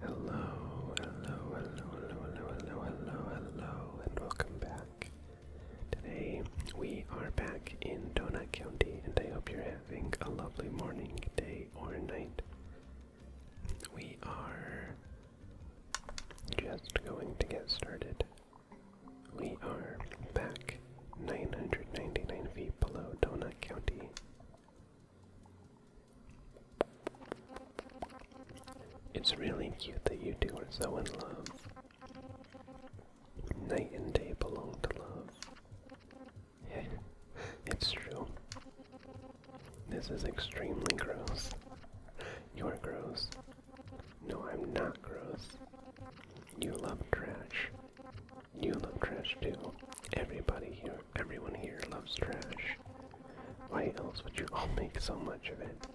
Hello, hello, hello, hello, hello, hello, hello, and welcome back Today we are back in Donut County, and I hope you're having a lovely morning, day, or night. We are just going to get started. We are back 999 feet below Donut County. It's really cute that you two are so in love. Night and day belong to love. it's true. This is extremely gross. You're gross. No, I'm not gross. You love trash. You love trash too. Everybody here, everyone here loves trash. Why else would you all make so much of it?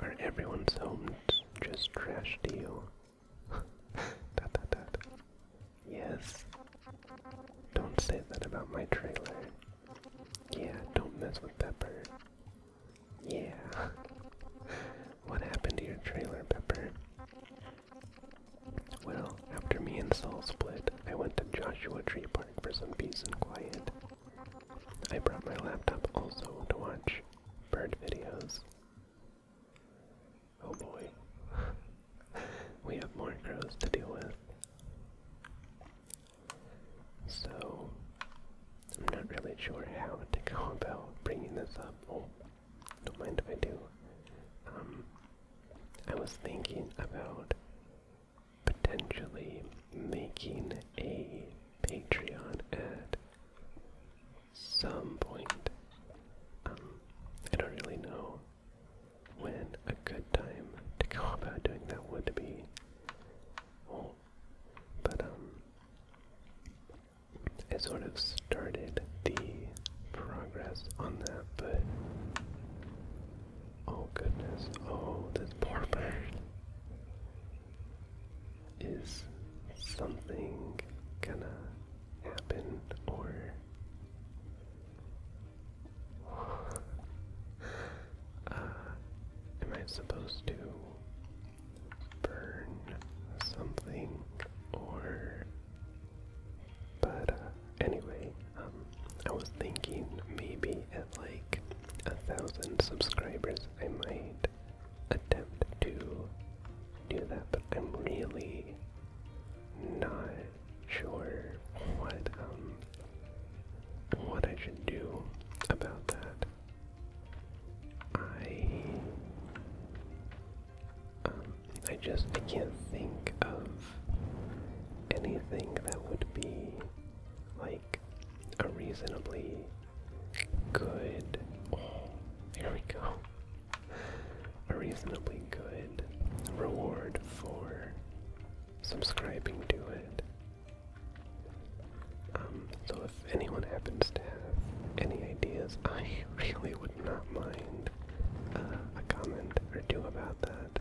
Are everyone's homes just trash to you? dot, dot, dot. Yes. Don't say that about my trailer. Yeah, don't mess with Pepper. Yeah. what happened to your trailer, Pepper? Well, after me and Saul split, I went to Joshua Tree Park for some peace and quiet. I brought my laptop also to watch bird videos. Oh boy. we have more crows to deal with. So, I'm not really sure how to go about bringing this up. Oh, don't mind if I do. Um, I was thinking about potentially making a Patreon ad some point. Um, I don't really know when a good time to go about doing that would be. but um, I sort of started the progress on that, but oh goodness, oh this poor bird. Is something gonna happen or uh, am I supposed to burn something or but uh, anyway um, I was thinking maybe like a thousand subscribers, I might attempt to do that, but I'm really not sure what um what I should do about that. I um I just I can't think of anything that would be like a reasonably good. Oh, we go. A reasonably good reward for subscribing to it. Um, so if anyone happens to have any ideas, I really would not mind uh, a comment or two about that.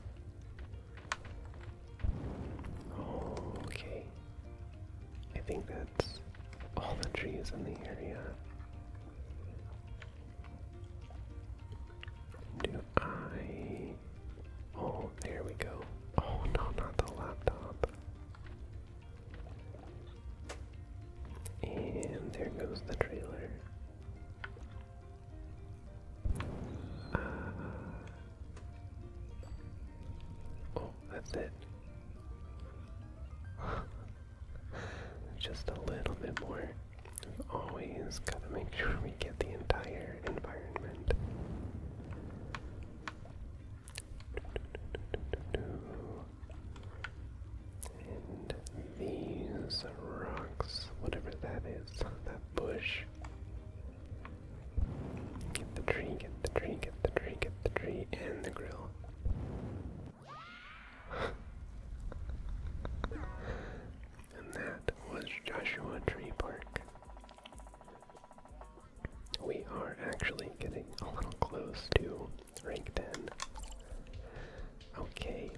Okay. I think that's all the trees in the area. Do I. Oh, there we go. Oh, no, not the laptop. And there goes the trailer. Uh, oh, that's it. Just a little bit more. We've always got to make sure we get the entire environment. And these rocks, whatever that is, that bush. Get the tree, get the tree, get the tree, get the tree, and the grill. and that was Joshua Tree Park. We are actually getting a little close to rank 10. Okay,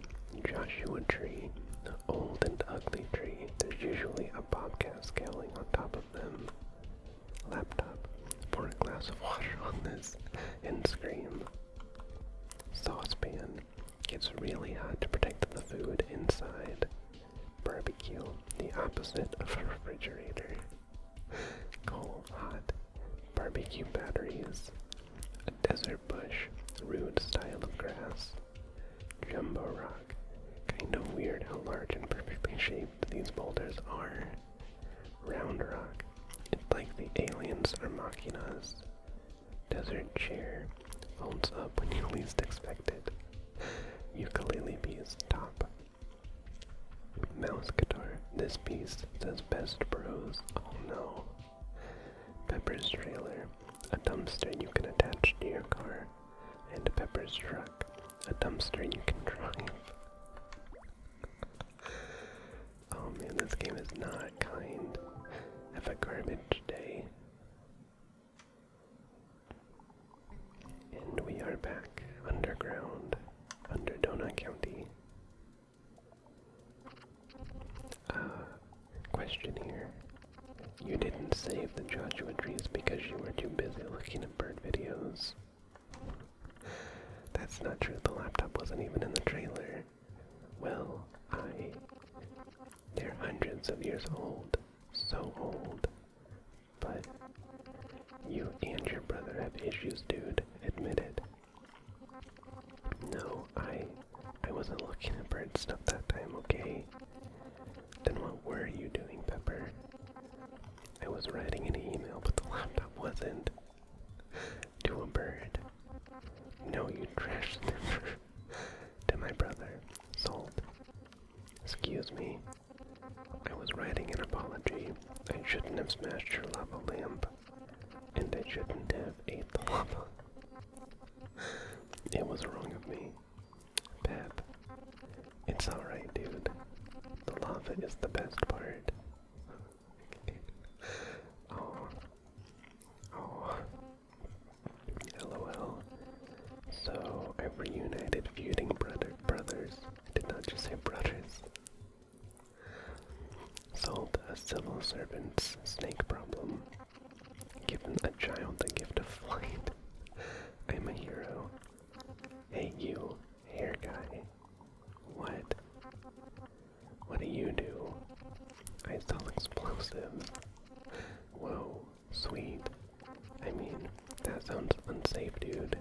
Joshua Tree. Uh, old and ugly tree, there's usually a bobcat scaling on top of them. Laptop, pour a glass of water on this and scream. Saucepan, it's really hot to protect the food inside. Barbecue, the opposite of a refrigerator. Coal, hot, barbecue batteries. A desert bush, rude style of grass. Jumbo rock. Kind of weird how large and perfectly shaped these boulders are. Round rock. It's like the aliens are mocking us. Desert chair folds up when you least expect it. Ukulele piece top. Mouse guitar. This piece says best bros. Oh no. Pepper's trailer, a dumpster you can attach to your car, and Pepper's truck, a dumpster you can drive. Oh man, this game is not kind. Have a garbage day. And we are back underground under Donut County. Uh, question here. You didn't save the Joshua trees because you were too busy looking at bird videos. That's not true, the laptop wasn't even in the trailer. Well, I. They're hundreds of years old. So old. But. You and your brother have issues, dude. Admit it. No, I I wasn't looking at bird stuff that time, okay? Then what were you doing, Pepper? I was writing an email, but the laptop wasn't. to a bird. No, you trash sniffer. to my brother, Salt. Excuse me. I was writing an apology. I shouldn't have smashed your lava lamp. And I shouldn't have ate the lava. it was wrong of me. Pep. It's alright, dude. The lava is the best part. oh. Oh. LOL. So, I've reunited feuding brother brothers. I did not just say brothers. Solved a civil servant's snake problem. Given a child the gift of flight. I'm a hero. Hey, you, hair guy. What? What do you do? I sell explosives. Whoa, sweet. I mean, that sounds unsafe, dude.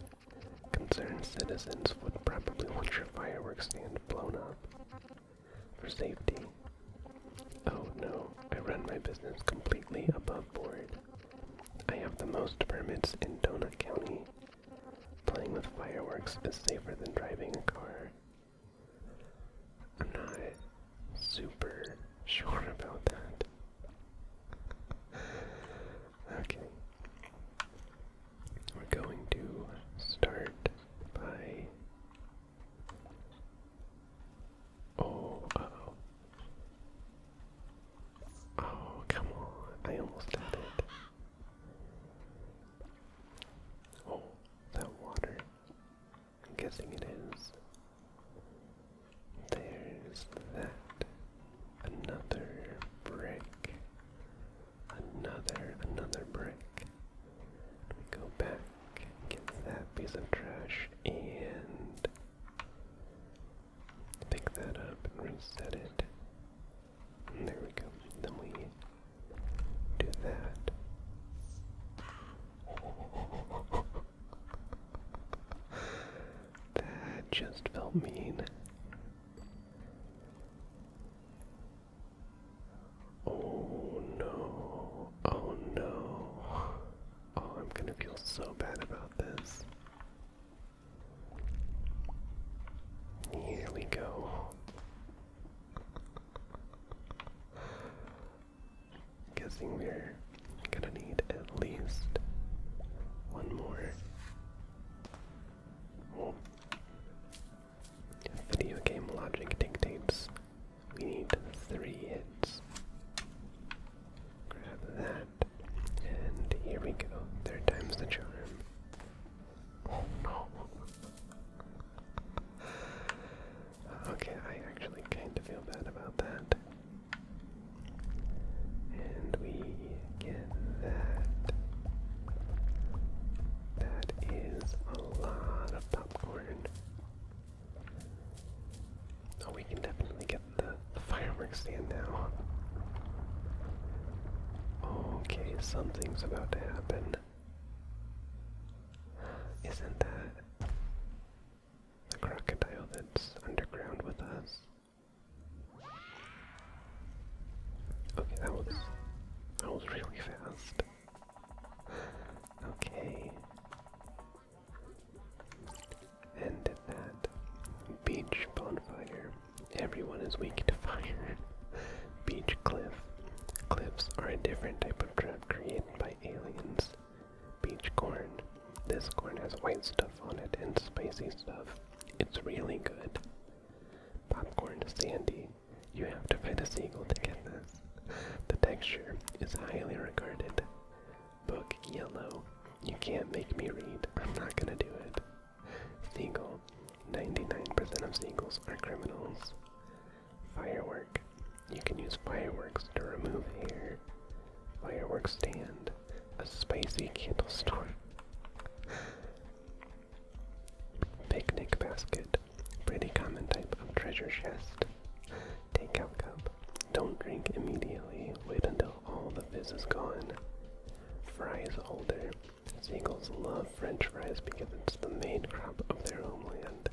Concerned citizens would probably want your fireworks stand blown up for safety. Oh no, I run my business completely above board. I have the most permits in Donut County. Playing with fireworks is safer than driving a car. I'm not super sure about that. okay. We're going to start by Oh, oh. Oh, come on. I almost did it. Oh, that water. I'm guessing it is. There's that. Another break. Another, another brick. We go back, get that piece of trash, and pick that up and reset it. there we go. Then we do that. that just felt mean. Oh no. Oh no. Oh, I'm gonna feel so bad about this. Here we go. Guessing we're gonna need at least one more. Oh. Video game logic dictates we need three hits. Grab that. And here we go. Third time's the charm. Oh no. Okay, I actually kind of feel bad about that. And we get that. That is a lot of popcorn. Oh, we can definitely get the, the fireworks stand now. Okay, something's about to happen. Isn't that the crocodile that's underground with us? Okay, that was that was really fast. Okay. And that beach bonfire. Everyone is weak to fire. beach cliff. Cliffs are a different type of trap created by aliens. Beach corn. This corn has white stuff on it and spicy stuff. It's really good. Popcorn Sandy. You have to fight a seagull to get this. The texture is highly regarded. Book Yellow. You can't make me read. I'm not gonna do it. Seagull. 99% of seagulls are criminals. Firework. You can use fireworks to remove hair. Fireworks stand. A spicy candle store. Picnic basket. Pretty common type of treasure chest. Takeout cup. Don't drink immediately. Wait until all the fizz is gone. Fries holder. Seagulls love French fries because it's the main crop of their homeland.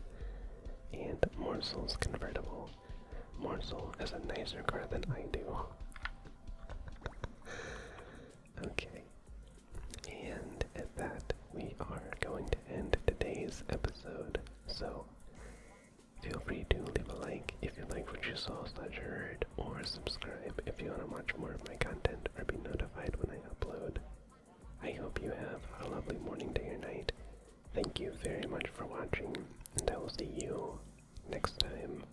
And Morsel's convertible. Morsel has a nicer car than I do. Okay. And at that, we are going to end today's episode. So, feel free to leave a like if you like what you saw slash heard, or subscribe if you want to watch more of my content or be notified when I upload. I hope you have a lovely morning, day, or night. Thank you very much for watching, and I will see you next time.